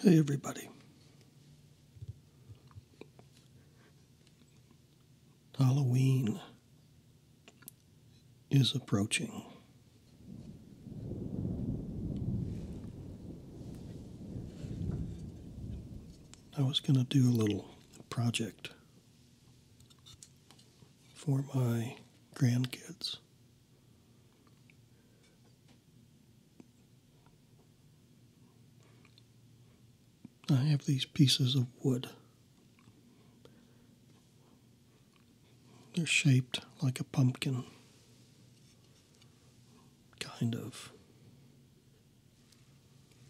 Hey, everybody. Halloween is approaching. I was going to do a little project for my grandkids. I have these pieces of wood. They're shaped like a pumpkin, kind of.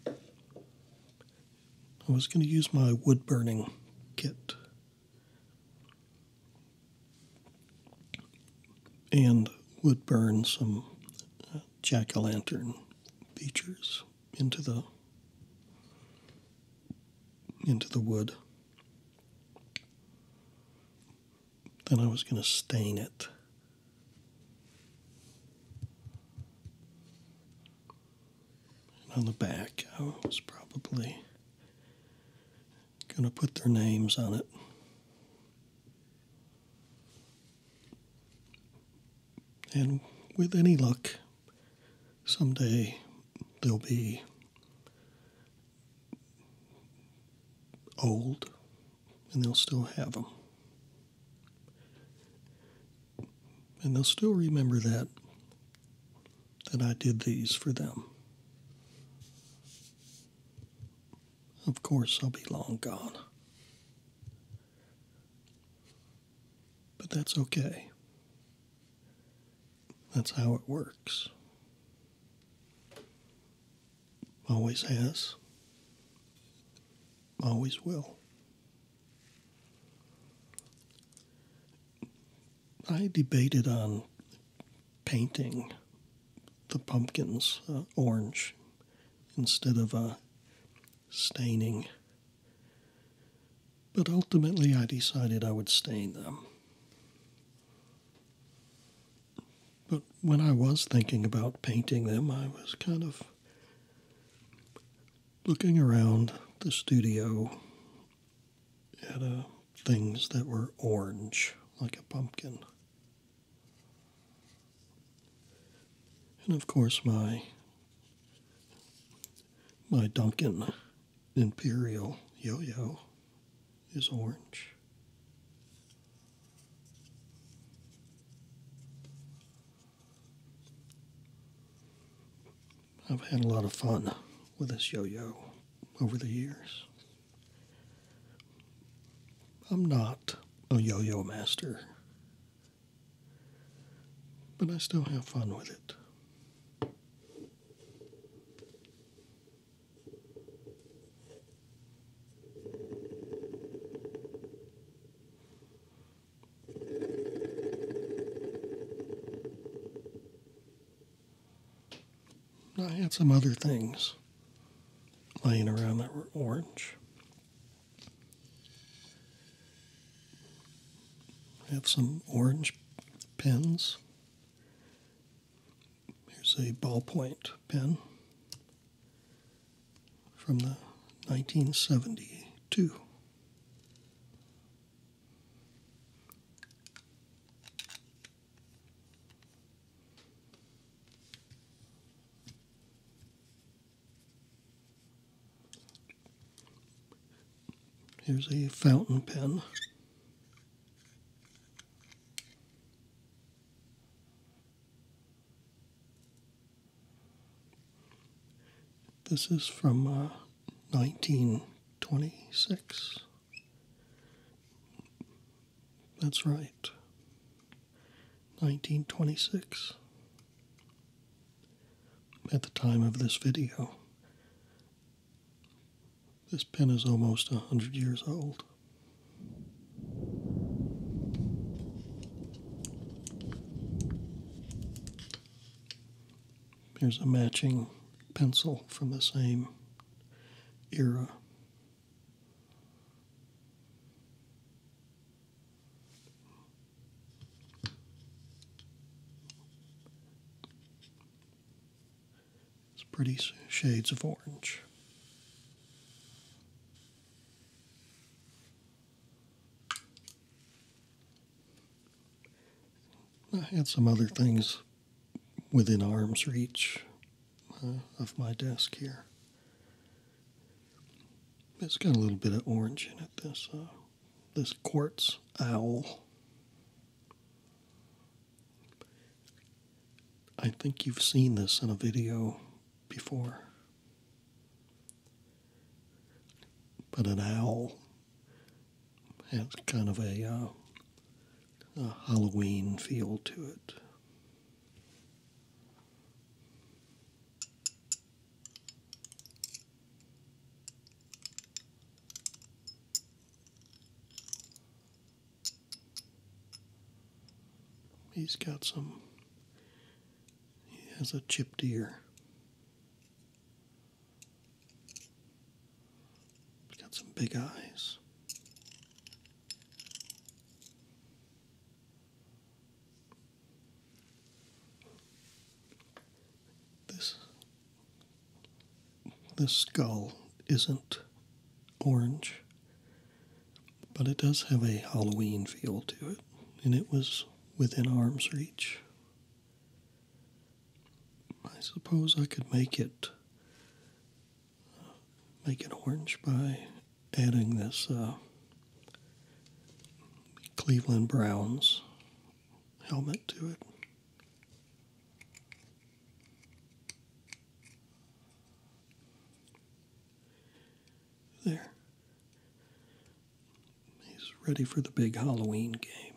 I was going to use my wood burning kit and would burn some uh, jack o' lantern features into the into the wood. Then I was going to stain it on the back. I was probably going to put their names on it. And with any luck, someday they'll be old and they'll still have them. And they'll still remember that that I did these for them. Of course, I'll be long gone. But that's okay. That's how it works. Always has, always will. I debated on painting the pumpkins uh, orange instead of uh, staining. But ultimately, I decided I would stain them. But when I was thinking about painting them, I was kind of looking around the studio had uh, things that were orange, like a pumpkin. And of course, my my Duncan Imperial yo-yo is orange. I've had a lot of fun with this yo yo over the years. I'm not a yo yo master, but I still have fun with it. I had some other things laying around that were orange. I have some orange pens. Here's a ballpoint pen from the 1972. Here's a fountain pen. This is from uh, 1926. That's right. 1926. At the time of this video, this pen is almost 100 years old. Here's a matching pencil from the same era. It's pretty shades of orange. I had some other things within arm's reach uh, of my desk here. It's got a little bit of orange in it. This uh, this quartz owl. I think you've seen this in a video before. But an owl has kind of a, uh, a Halloween feel to it. He's got some, he has a chipped ear got some big eyes. This this skull isn't orange, but it does have a Halloween feel to it, and it was within arm's reach. I suppose I could make it make it orange by adding this uh, Cleveland Browns helmet to it. There. He's ready for the big Halloween game.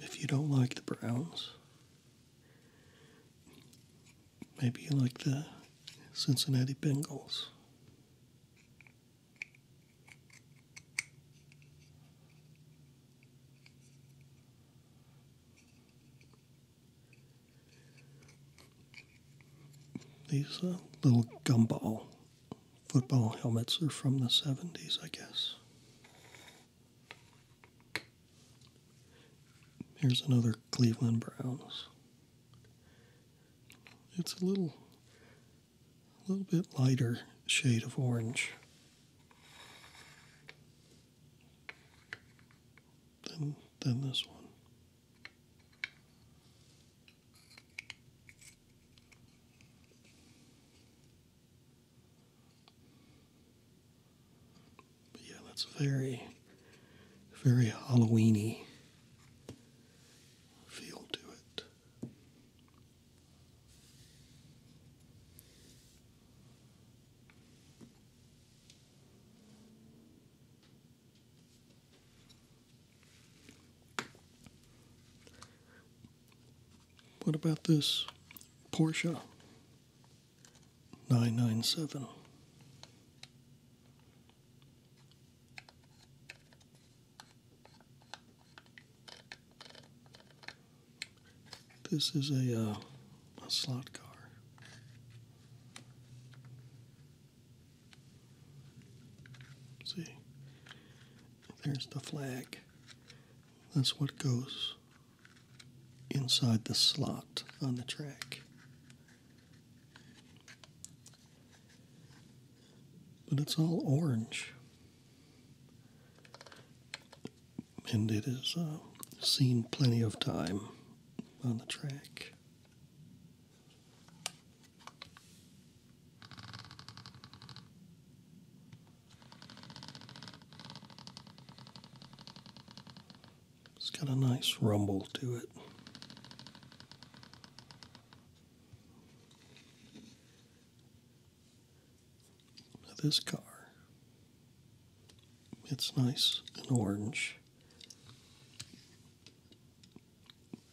If you don't like the browns, maybe you like the Cincinnati Bengals. These uh, little gumball football helmets are from the 70s, I guess. Here's another Cleveland Browns. It's a little, a little bit lighter shade of orange than than this one yeah, that's very, very Halloweeny feel to it. What about this Porsche 997? This is a, uh, slot car. See, there's the flag. That's what goes inside the slot on the track. But it's all orange. And it has uh, seen plenty of time on the track. It's got a nice rumble to it. This car, it's nice and orange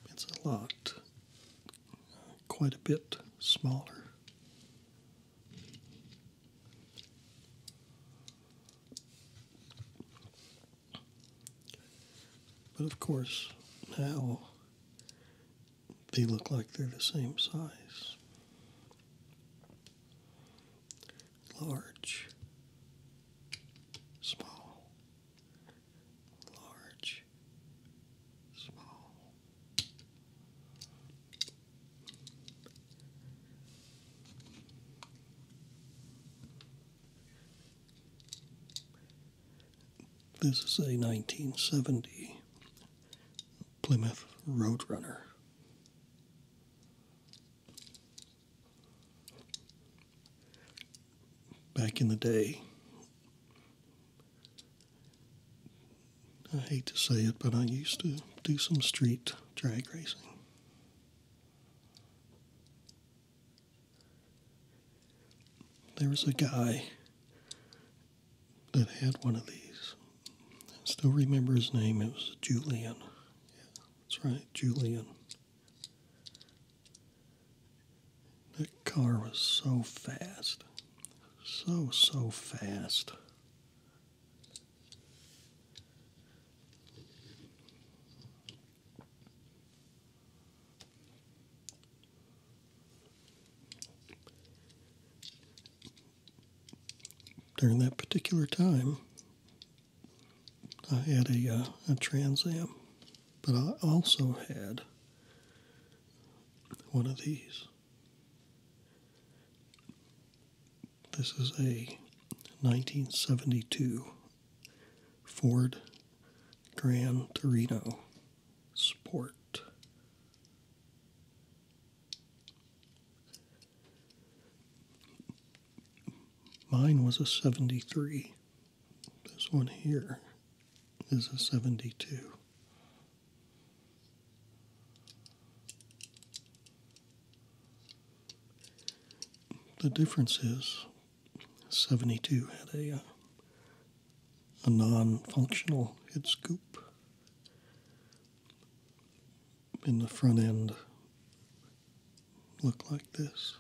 it's a lot, quite a bit smaller. But of course, now they look like they're the same size. Large, small, large, small. This is a 1970 Plymouth Roadrunner back in the day. I hate to say it, but I used to do some street drag racing. There was a guy that had one of these. I still remember his name. It was Julian. that's right, Julian. That car was so fast. So, so fast. During that particular time, I had a, uh, a Trans Am. But I also had one of these. This is a 1972 Ford Grand Torino Sport. Mine was a 73. This one here is a 72. The difference is 72 had a, uh, a non functional head scoop in the front end Look like this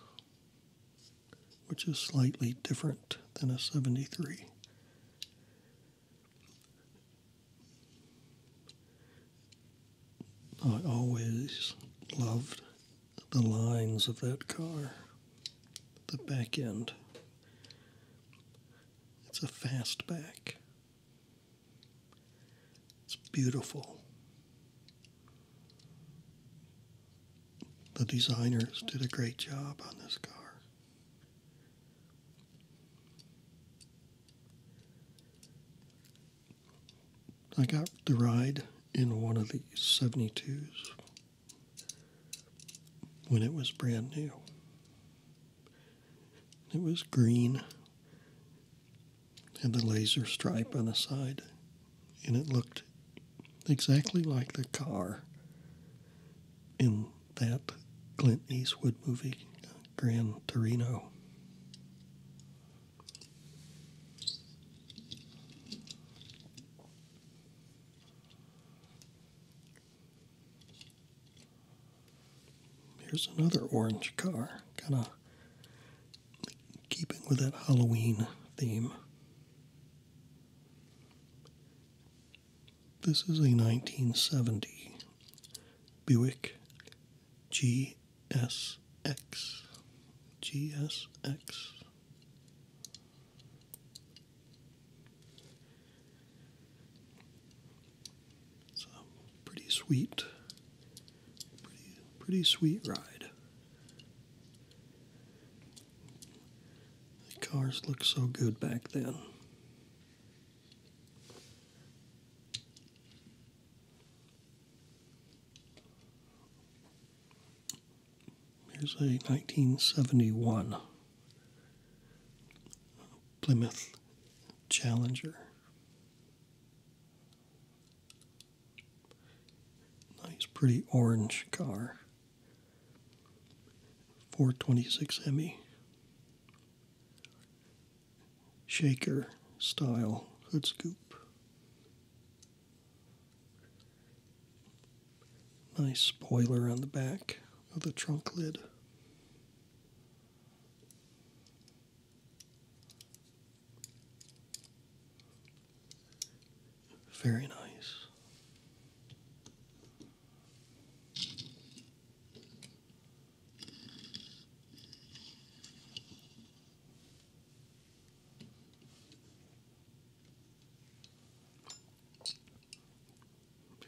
which is slightly different than a 73. I always loved the lines of that car, the back end. It's a fastback. It's beautiful. The designers did a great job on this car. I got the ride in one of these 72s when it was brand new. It was green, and the laser stripe on the side and it looked exactly like the car in that Clint Eastwood movie, Gran Torino. Here's another orange car, kind of keeping with that Halloween theme. This is a 1970 Buick G S X G S X. GSX. pretty sweet, pretty, pretty sweet ride. The cars looked so good back then. Here's a 1971 Plymouth Challenger. Nice, pretty orange car. 426 Hemi shaker style hood scoop. Nice spoiler on the back of the trunk lid. Very nice.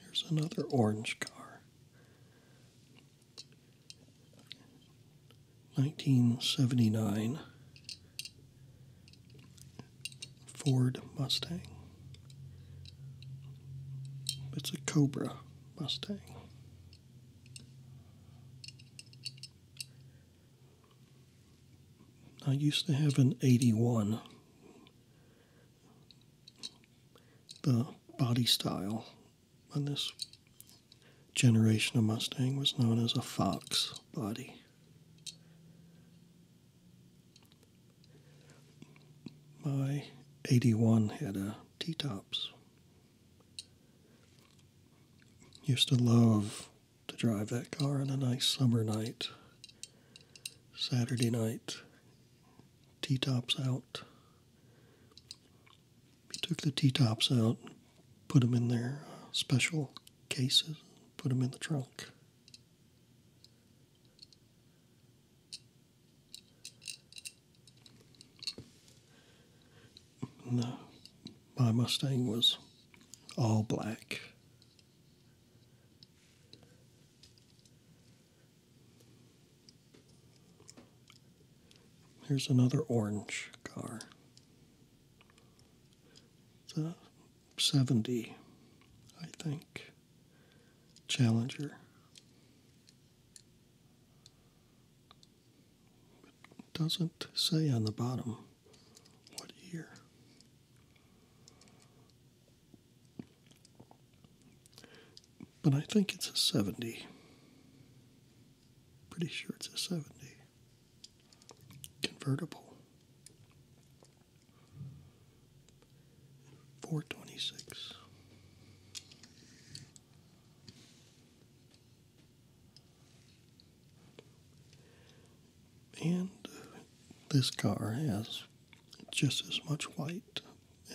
Here's another orange car. 1979 Ford Mustang. It's a Cobra Mustang. I used to have an 81. The body style on this generation of Mustang was known as a Fox body. My 81 had a T tops. Used to love to drive that car on a nice summer night, Saturday night, T tops out. We took the T tops out, put them in their uh, special cases, put them in the trunk. No, my Mustang was all black. Here's another orange car. It's 70, I think. Challenger. doesn't say on the bottom what year. But I think it's a 70. Pretty sure it's a 70. Convertible. 426. And uh, this car has just as much white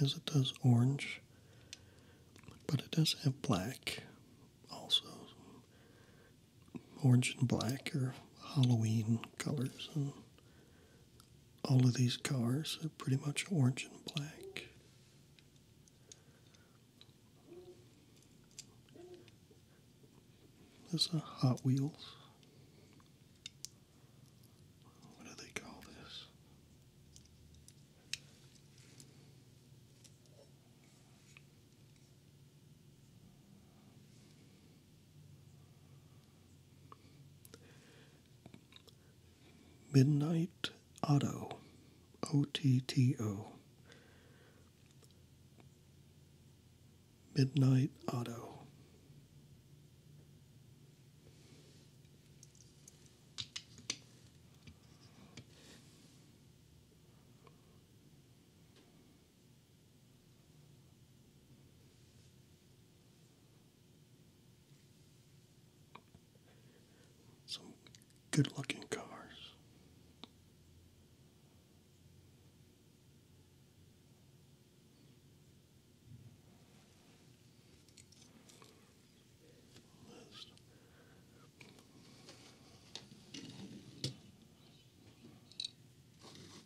as it does orange, but it does have black also orange and black are Halloween colors, and all of these cars are pretty much orange and black. There's a Hot Wheels. What do they call this? Midnight Otto, O T T O. Midnight Otto. Some good looking cars. List.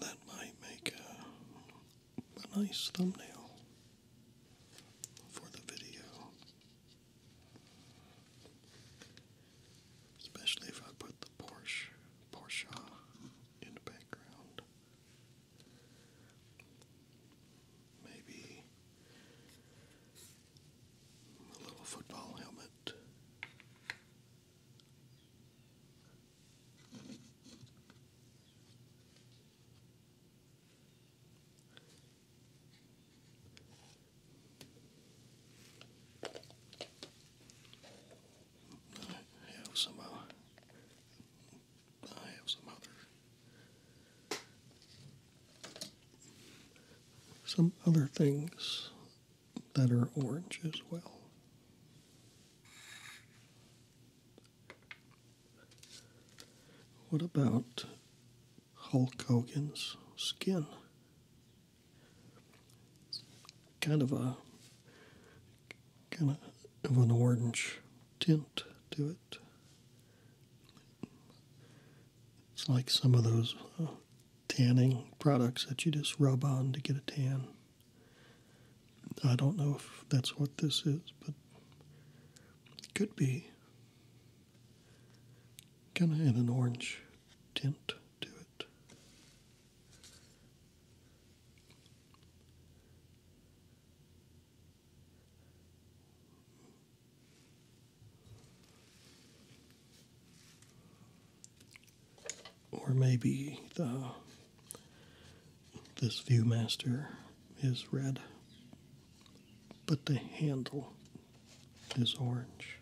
That might make a, nice thumbnail for the video. Especially if I put the Porsche Porsche in the background. Maybe a little football helmet. I have some, uh, I have some other, some other things that are orange as well. What about Hulk Hogan's skin? Kind of a kind of an orange tint to it. It's like some of those uh, tanning products that you just rub on to get a tan. I don't know if that's what this is, but it could be. Can I add an orange tint to it. Or maybe the this Viewmaster is red but the handle is orange.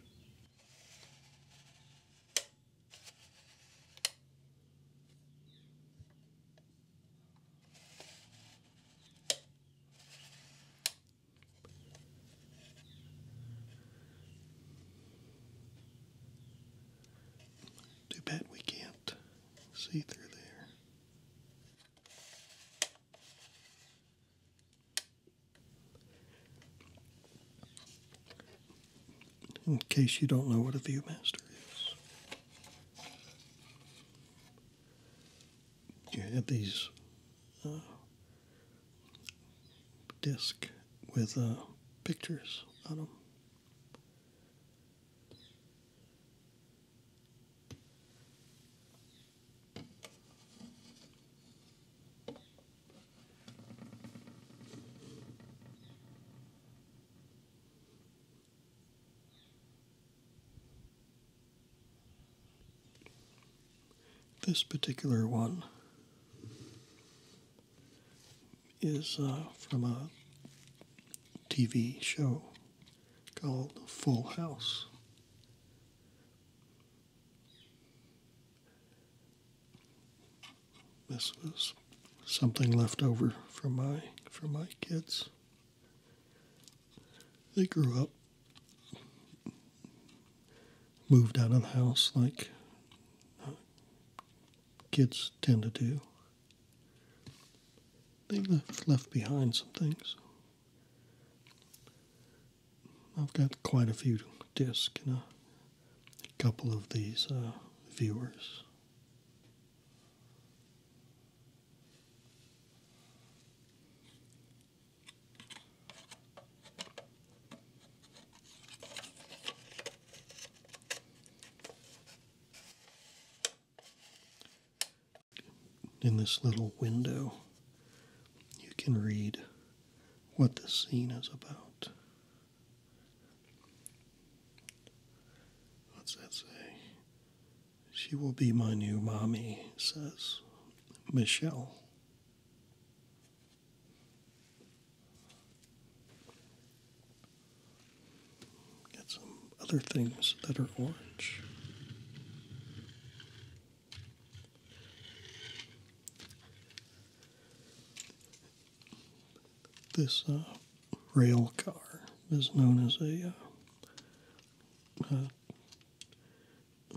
Too bad we can't see through there. In case you don't know what a Viewmaster is, you have these uh, disc with uh, pictures on them. This particular one is uh, from a TV show called Full House. This was something left over from my from my kids. They grew up, moved out of the house like kids tend to do. They left left behind some things. I've got quite a few discs and a couple of these uh, viewers in this little window, you can read what the scene is about. What's that say? She will be my new mommy, says Michelle. Got some other things that are orange. This uh, rail car is known as a uh, uh,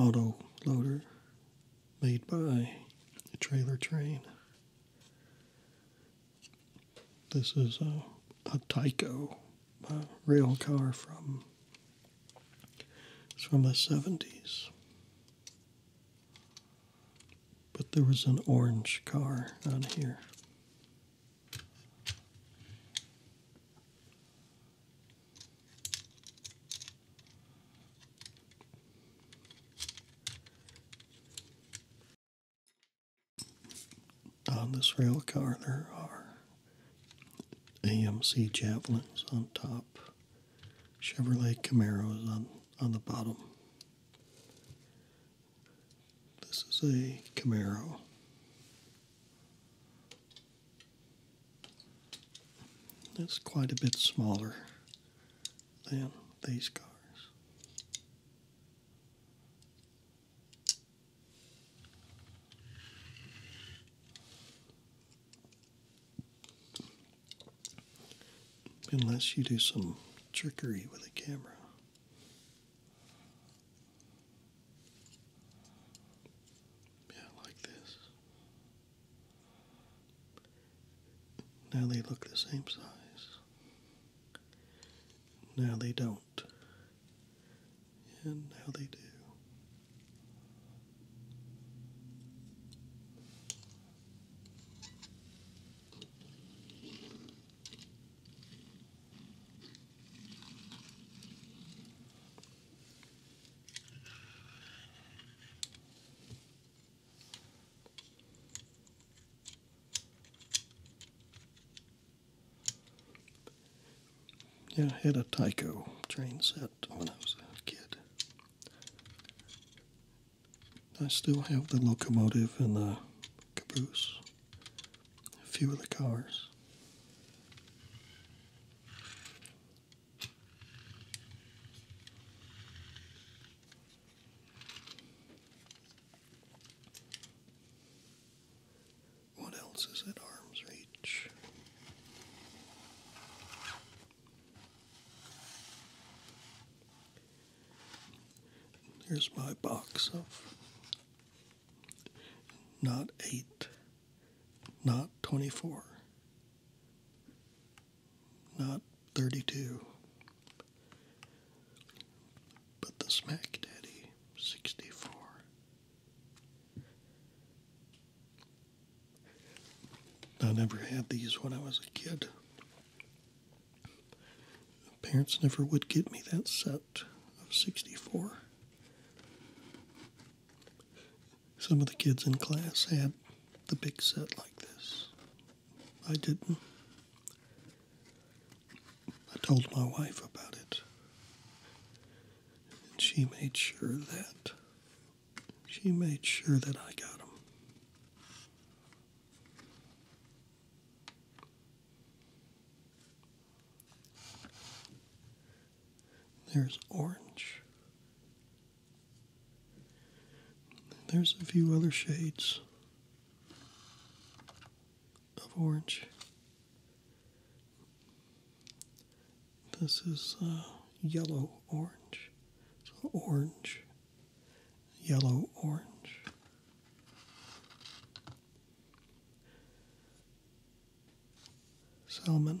auto loader made by a trailer train. This is a, a Tyco my rail car from. It's from the 70s. But there was an orange car on here. On this rail car, there are AMC Javelins on top, Chevrolet Camaros on, on the bottom. This is a Camaro. It's quite a bit smaller than these cars. Unless you do some trickery with a camera. Yeah, like this. Now they look the same size. Now they don't and how they do. Yeah, I had a Tyco train set when I was a kid. I still have the locomotive and the caboose, a few of the cars. What else is at arm's reach? Here's my box of not eight, not 24, not 32, but the Smack Daddy 64. I never had these when I was a kid. parents never would get me that set of 64. Some of the kids in class had the big set like this. I didn't. I told my wife about it. And she made sure that she made sure that I got them. There's orange. There's a few other shades of orange. This is uh, yellow orange. So orange, yellow orange. Salmon. Salmon.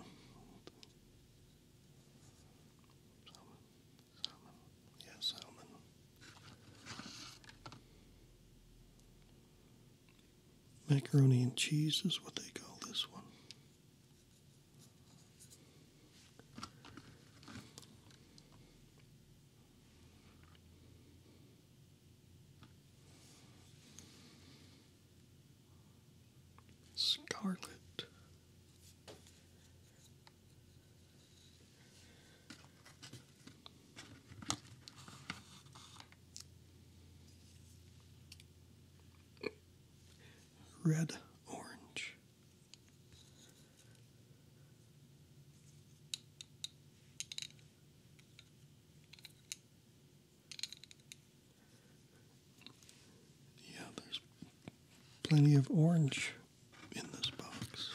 Salmon. salmon. Macaroni and cheese is what they call this one. Scarlet. Red, orange. Yeah, there's plenty of orange in this box.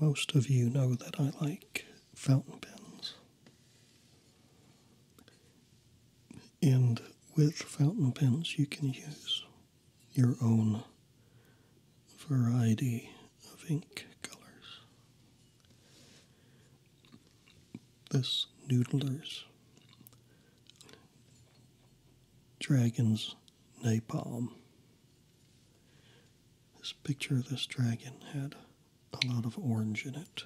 Most of you know that I like fountain pens, and with fountain pens, you can use your own variety of ink colors. This Noodler's Dragon's Napalm. This picture of this dragon had a lot of orange in it.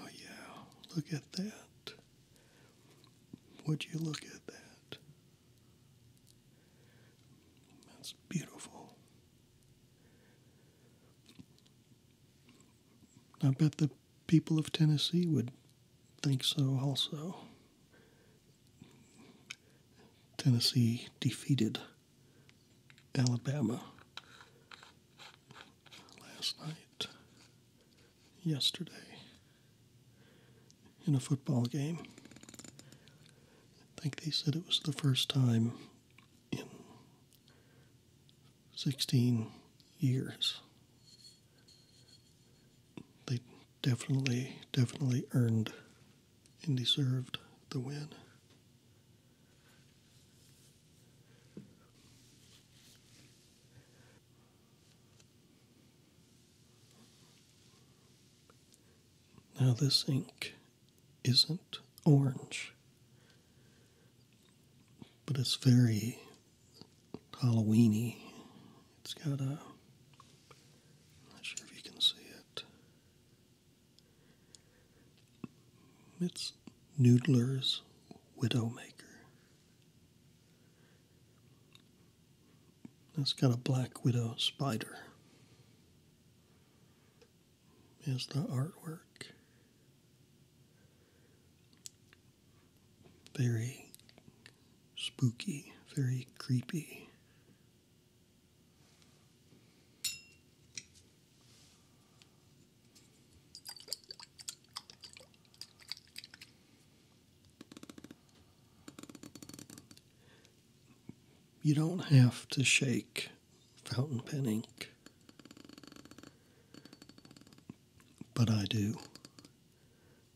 Oh, yeah, look at that. Would you look at that? That's beautiful. I bet the people of Tennessee would think so also. Tennessee defeated Alabama last night, yesterday, in a football game. I think they said it was the first time in 16 years. They definitely, definitely earned and deserved the win. Now, this ink isn't orange, but it's very Halloweeny. It's got a. not sure if you can see it. It's Noodler's Widowmaker. It's got a black widow spider is the artwork. Very spooky, very creepy. You don't have to shake fountain pen ink. But I do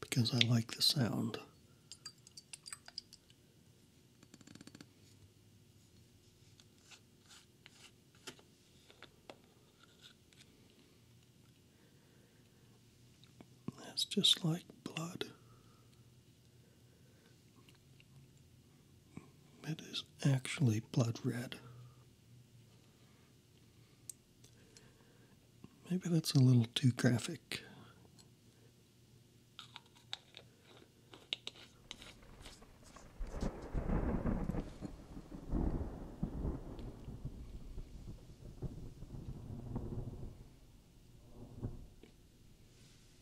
because I like the sound. That's just like blood. It is actually blood red. Maybe that's a little too graphic.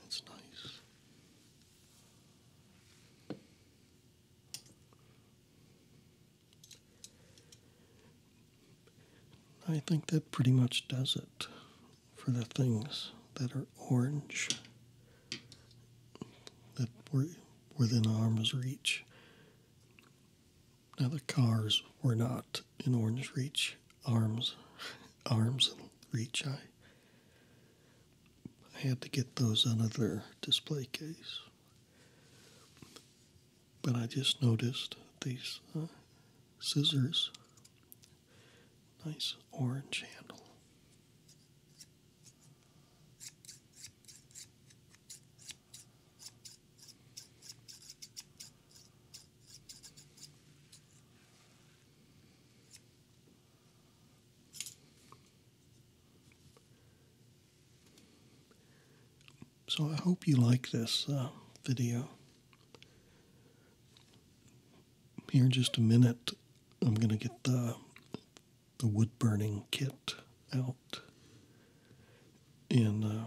That's nice. I think that pretty much does it for the things that are orange that were within arm's reach. Now the cars were not in orange reach, arms, arms reach. I I had to get those under their display case. But I just noticed these uh, scissors. Nice orange handle. So I hope you like this uh, video. Here in just a minute, I'm going to get the, the wood burning kit out and uh,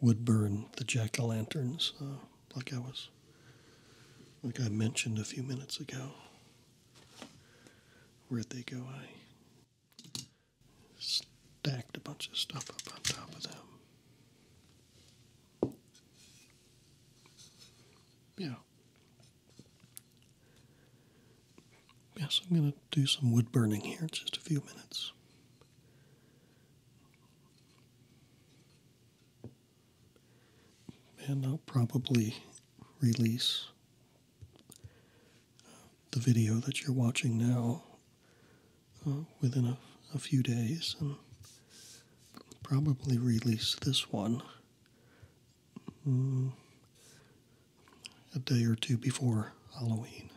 wood burn the jack-o'-lanterns. Uh, like I was, like I mentioned a few minutes ago. Where'd they go? I stacked a bunch of stuff up on top of them. Yeah. Yes, I'm going to do some wood burning here in just a few minutes. And I'll probably release uh, the video that you're watching now uh, within a, few days, and probably release this one mm, a day or two before Halloween.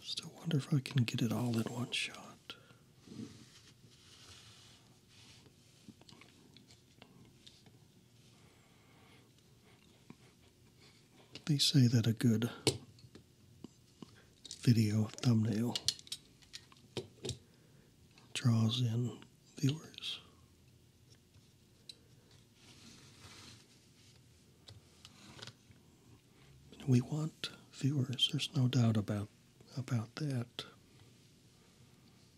Still wonder if I can get it all in one shot. They say that a good video thumbnail draws in viewers. We want viewers, there's no doubt about about that.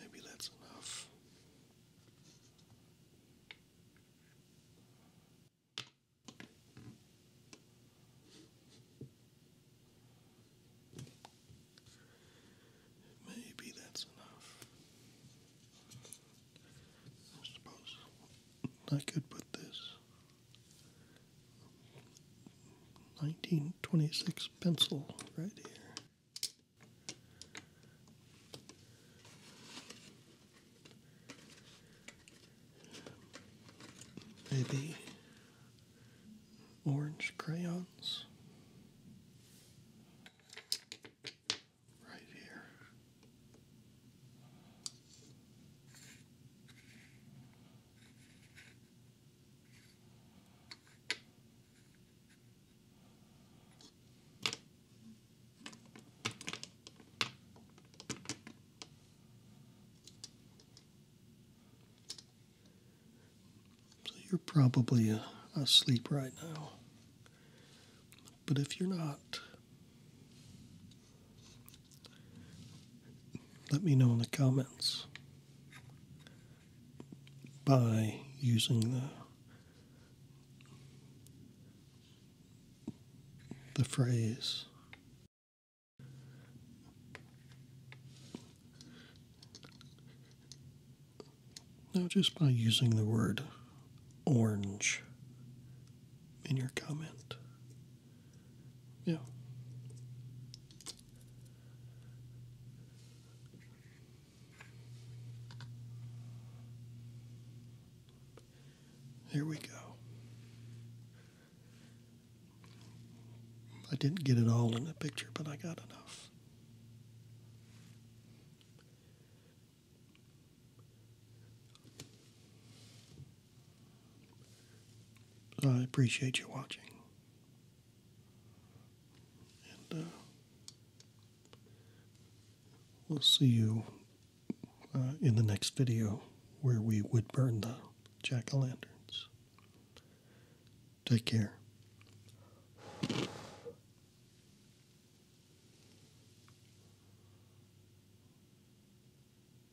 Maybe that's enough. Maybe that's enough. I suppose I could put this 1926 pencil right here. Maybe orange crayons right here. So you're probably uh, asleep right now. But if you're not, let me know in the comments by using the the phrase now just by using the word orange in your comment. Yeah. Here we go. I didn't get it all in the picture, but I got enough. I appreciate you watching. And uh, we'll see you uh, in the next video where we would burn the jack o' lanterns. Take care.